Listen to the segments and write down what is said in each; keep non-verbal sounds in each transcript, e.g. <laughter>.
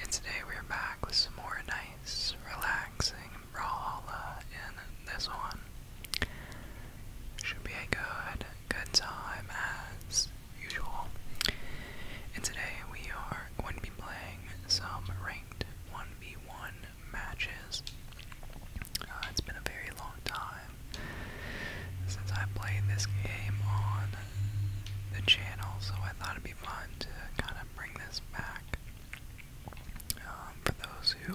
And today we're back with some more nice, relaxing Brawlhalla, and this one should be a good, good time as usual. And today we are going to be playing some ranked 1v1 matches. Uh, it's been a very long time since I played this game on the channel, so I thought it'd be fun to kind of bring this back um, for those who,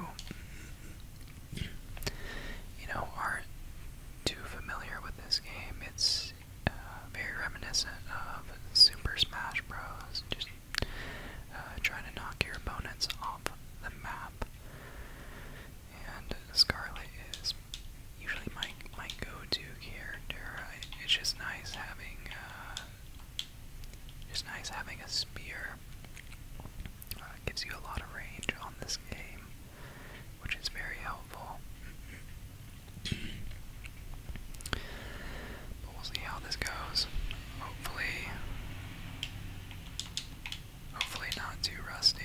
you know, aren't too familiar with this game. It's uh, very reminiscent of Super Smash Bros. Just uh, trying to knock your opponents off the map. And Scarlet is usually my my go-to character. Uh, it's just nice having uh, just nice having a spear. Uh, gives you a lot of range on this game, which is very helpful. <clears throat> but we'll see how this goes. Hopefully, hopefully not too rusty.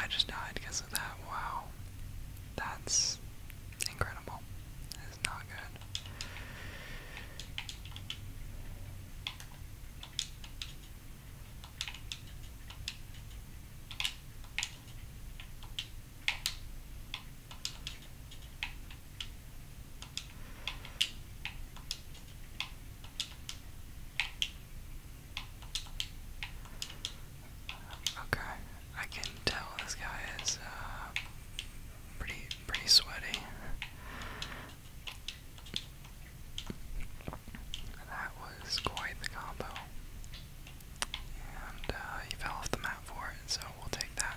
I just died because of that. Wow. That's incredible. That is not good. Okay, I can tell this guy is uh, pretty pretty sweaty. That was quite the combo. And uh, he fell off the map for it, so we'll take that.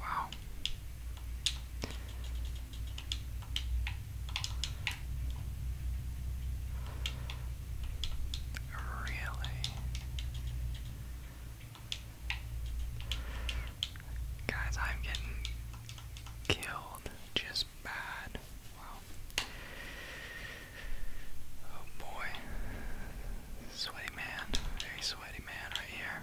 Wow. Really? Guys, I'm getting killed just bad. Wow. Oh boy. Sweaty man. Very sweaty man right here.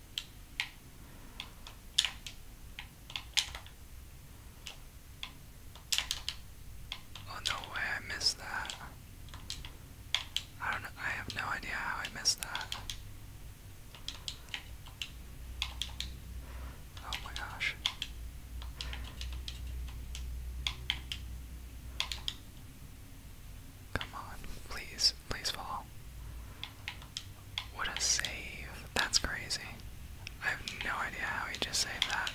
Oh no way I missed that. I don't I have no idea how I missed that. Oh my gosh. Come on, please, please fall. What a save. That's crazy. I have no idea how he just saved that.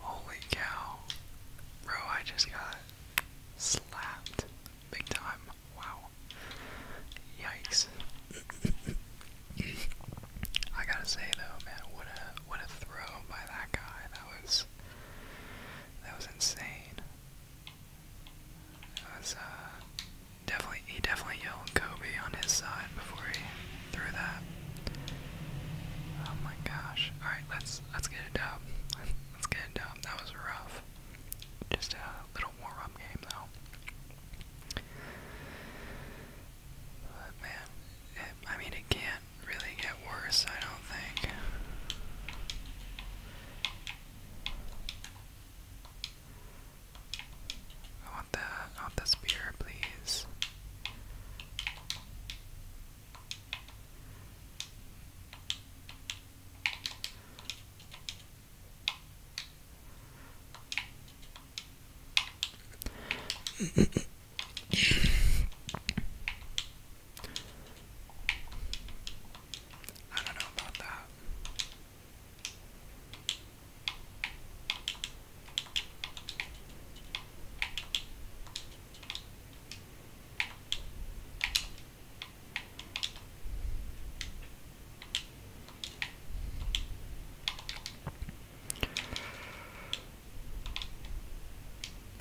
Holy cow. Bro, I just got slapped big time. Wow. Yikes. I gotta say though, man, what a what a throw by that guy. That was that was insane. That was uh definitely he definitely yelled Kobe on his side before he threw that. Oh my gosh. Alright, let's let's get it done. Let's get it up. That was rough. Just a little more up game though man, I mean, it can't really get worse, I don't think. I want the, I the spear, please. I don't know about that.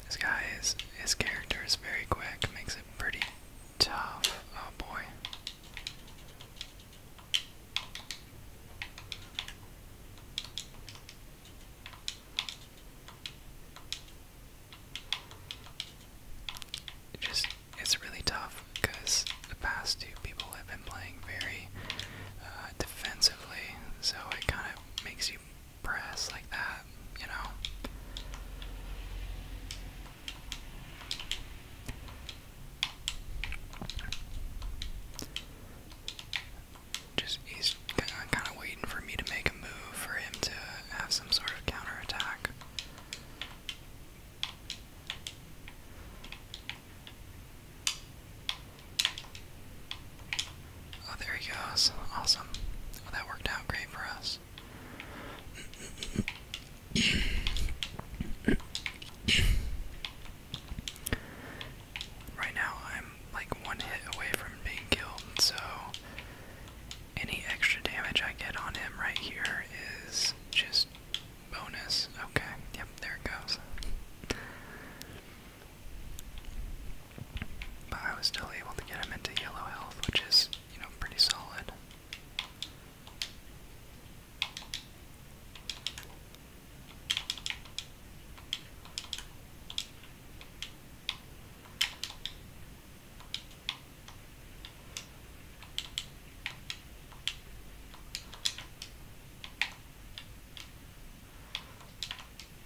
This guy is his character is very quick, makes it pretty tough. Oh boy. just it's really tough because the past two people have been playing very uh, defensively, so it kind of makes you press like that, you know. Just he's uh, kind of waiting for me to make a move for him to have some sort of counterattack. Oh, there he goes. Awesome. that worked out great for us. Right now, I'm like one hit away from being killed, so any extra damage I get on him right here is just bonus. Okay, yep, there it goes. But I was still able to get him into yellow health, which is, you know, pretty solid.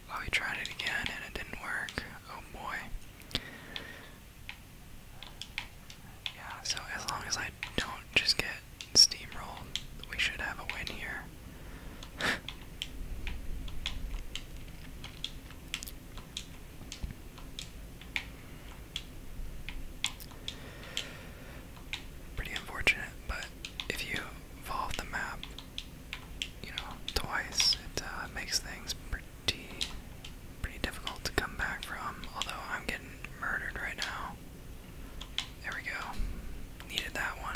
Well, we tried it again and it didn't work. Oh boy. Yeah, so as long as I don't just get steamrolled, we should have a win here pretty unfortunate, but if you evolve the map, you know, twice, it uh, makes things pretty, pretty difficult to come back from. Although I'm getting murdered right now. There we go. Needed that one.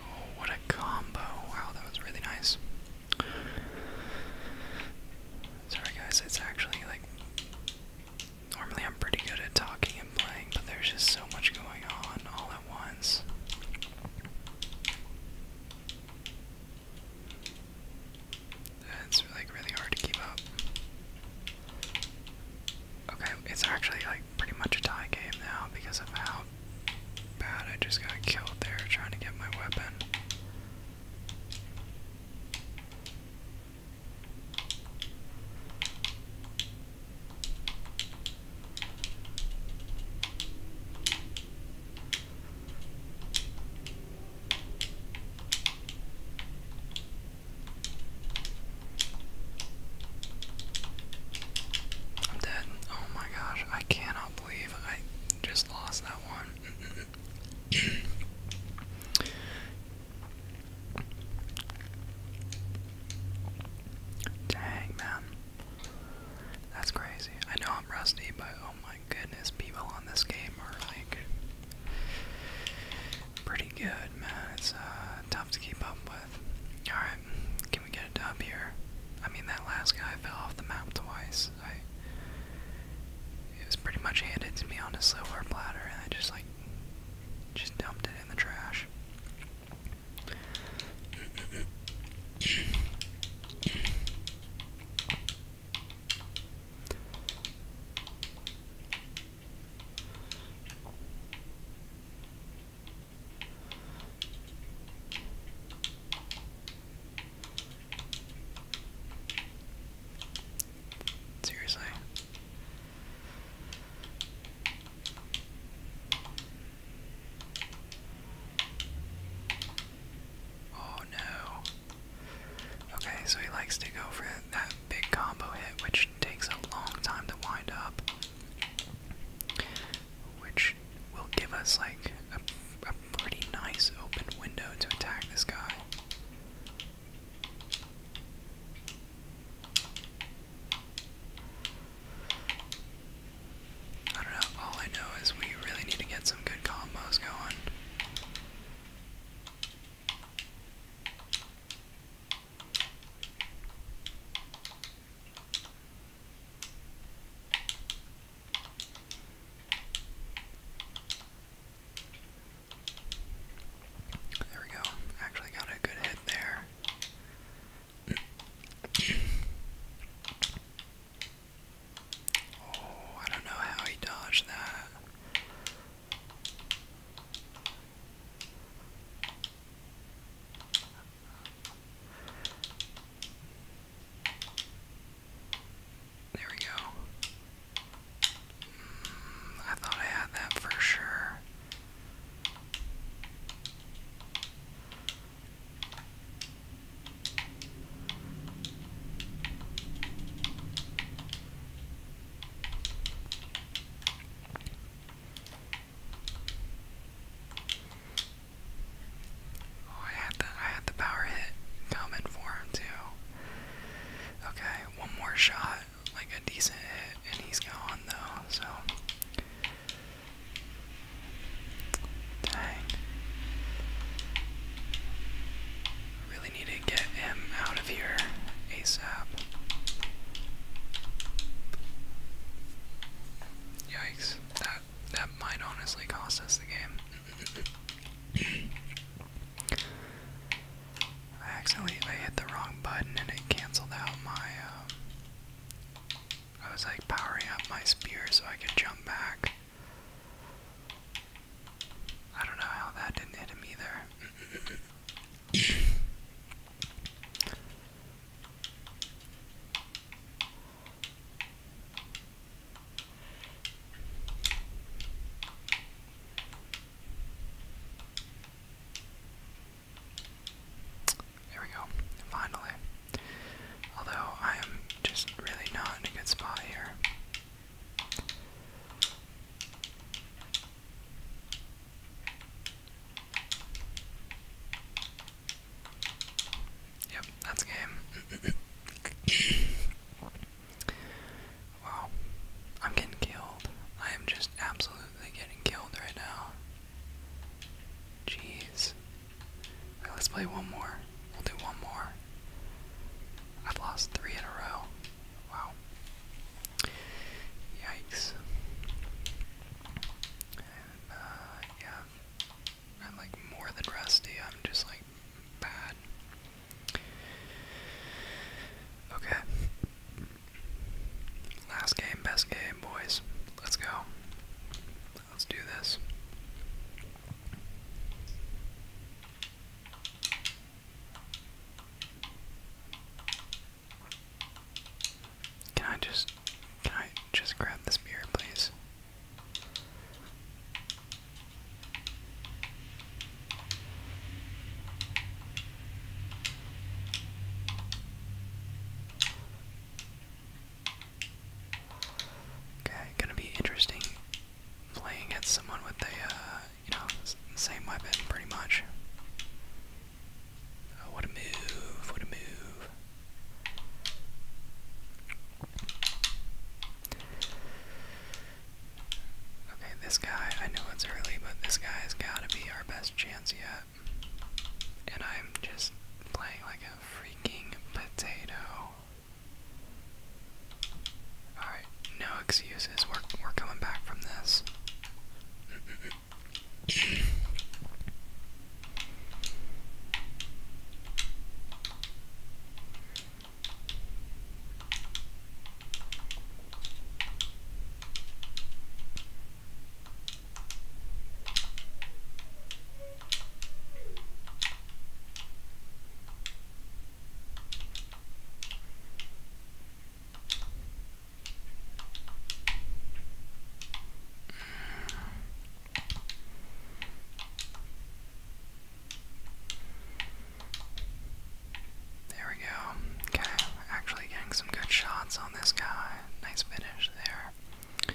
Oh, what a combo. Wow, that was really nice. Sorry, guys, it's actually like. Normally, I'm pretty good at talking and playing, but there's just so much going on all at once. It's like really hard to keep up. Okay, it's actually like pretty much a tie game now because of how bad I just got killed there trying to get my weapon. I'm dead. Oh my gosh, I cannot believe I just lost that one. Dang, man. That's crazy. I know I'm rusty, but oh my goodness, people on this game are like Pretty good, man. It's uh, tough to keep up with. Alright, can we get a dub here? I mean, that last guy fell off the map twice. I, it was pretty much handed to me on a silver platter, and I just, like, just dumped it in the trash. Seriously. Oh no. Okay, so he likes to go for that big combo hit, which which takes a long time to wind up, which will give us like a pretty nice open window to attack this guy. I don't know, all I know is we really need to get some good combos going. There we go. Actually got a good hit there. oh, I don't know how he dodged that. There we go. Mm, I thought I had that for sure. Oh, I had the I had the power hit coming for him too. Okay, one more shot, like a decent hit, and he's gone though. So, dang. Really need to get him out of here ASAP. Yikes. That that might honestly cost us the game. <coughs> I accidentally hit the wrong button and it canceled out my uh, I was like powering up my spear so I could jump back. I don't know how that didn't hit him either. <coughs> There we go, finally. Although I am just really not in a good spot here. Yep, that's game. <coughs> wow. I'm getting killed. I am just absolutely getting killed right now. Jeez. let's play one more. We'll do one more. I've lost three in a row. Wow. Yikes. Uh, yeah. I'm like more than rusty. I'm just like bad. Okay. Last game, best game, boys. Let's go. Let's do this. Can I just can I just grab this beer, please? Okay, gonna be interesting playing at someone with a uh, you know, same weapon pretty much. Uh, what a move, what a move. Okay, this guy, I know it's early, but this guy has got to be our best chance yet. And I'm just playing like a freaking potato. Alright, no excuses. We're, we're coming back from this. There we go. Okay, actually getting some good shots on this guy. Nice finish there.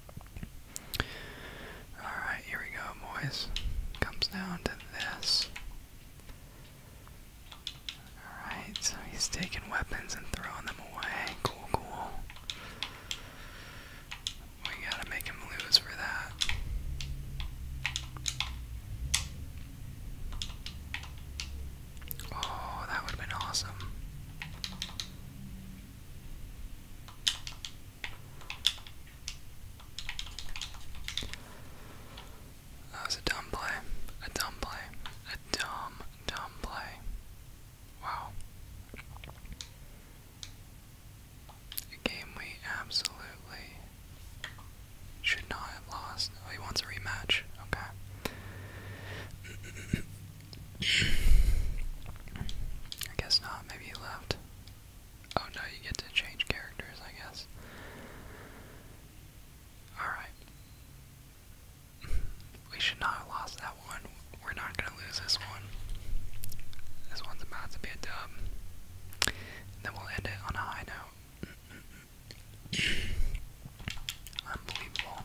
Alright, here we go, boys. Comes down to this. Alright, he's taking weapons and throwing them away. Cool, cool. We gotta make him lose for that. Oh, that would have been awesome. That was a dumb play. A dumb play. A dumb, dumb play. Wow. A game we absolutely should not have lost. Oh, he wants a rematch. Okay. <clears throat> I guess not. Maybe he left. Oh no, you get to change characters, I guess. Alright. We should not have lost that one. We're not gonna lose this one. This one's about to be a dub. then we'll end it on a high note. <clears throat> Unbelievable.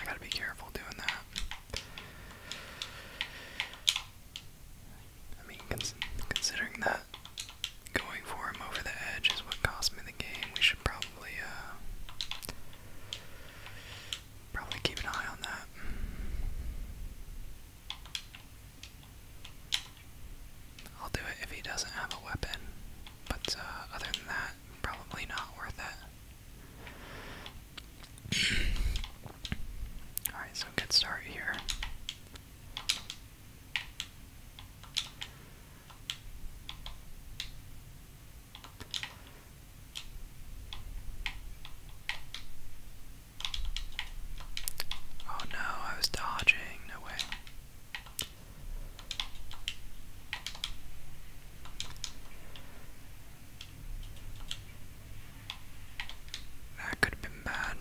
I gotta be careful doing that. I mean, considering that going for him over the edge is what cost me the game, we should probably, uh, probably keep an eye on that. I'll do it if he doesn't have a weapon, but uh, other than that, Probably not worth it. <clears throat> Alright, so good start here. Oh no, I was dodging, no way. That could have been bad.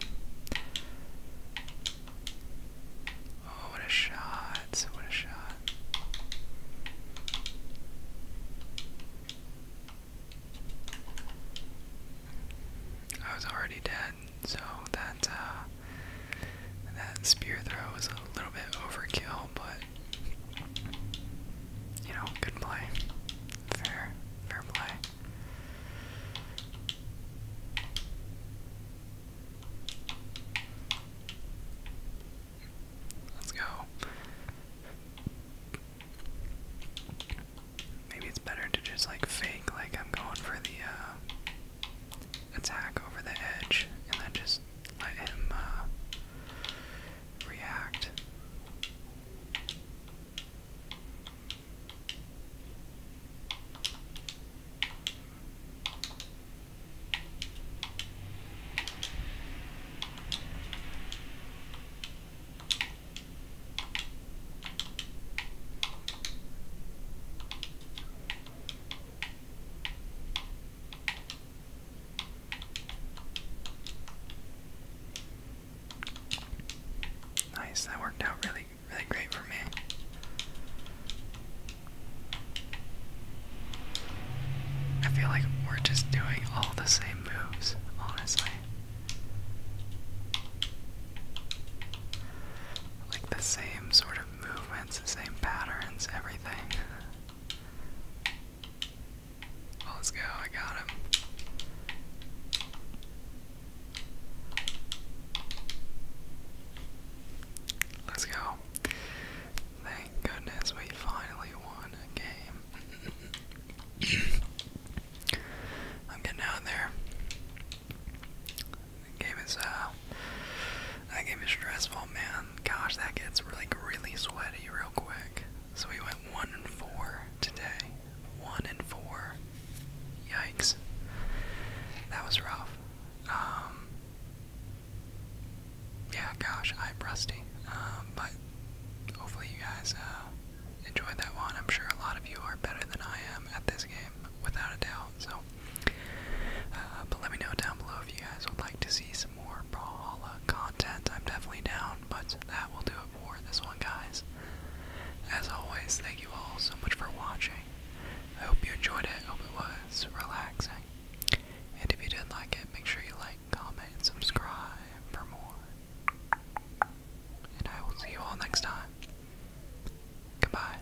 Oh, what a shot! What a shot! I was already dead, so that uh, that spear throw was a little bit overkill, but you know, good play. Fair, fair play. Let's go. Maybe it's better to just like fake like I'm going for the uh, attack over the edge and then just let him uh, react. Nice, that worked out really, really great for me. I feel like we're just doing all the same moves, honestly. Like the same sort of movements, the same patterns, everything. let's go, I got him. Let's go. Thank goodness we finally won a game. <coughs> I'm getting out of there. That game is uh, that game is stressful, man. Gosh, that gets really, really sweaty real quick. So we went one and four today. One and four. Yikes. That was rough. Um. Yeah, gosh, I'm rusty. Um, but hopefully you guys uh, enjoyed that one. I'm sure a lot of you are better than I am at this game, without a doubt. So uh, but let me know down below if you guys would like to see some more Brawlhalla content. I'm definitely down, but that will do it for this one, guys. As always, thank you all so much for watching. I hope you enjoyed it. I hope it was relaxing. And if you did like it, make sure you like, comment, and subscribe for more. And I will see you all next time. Goodbye.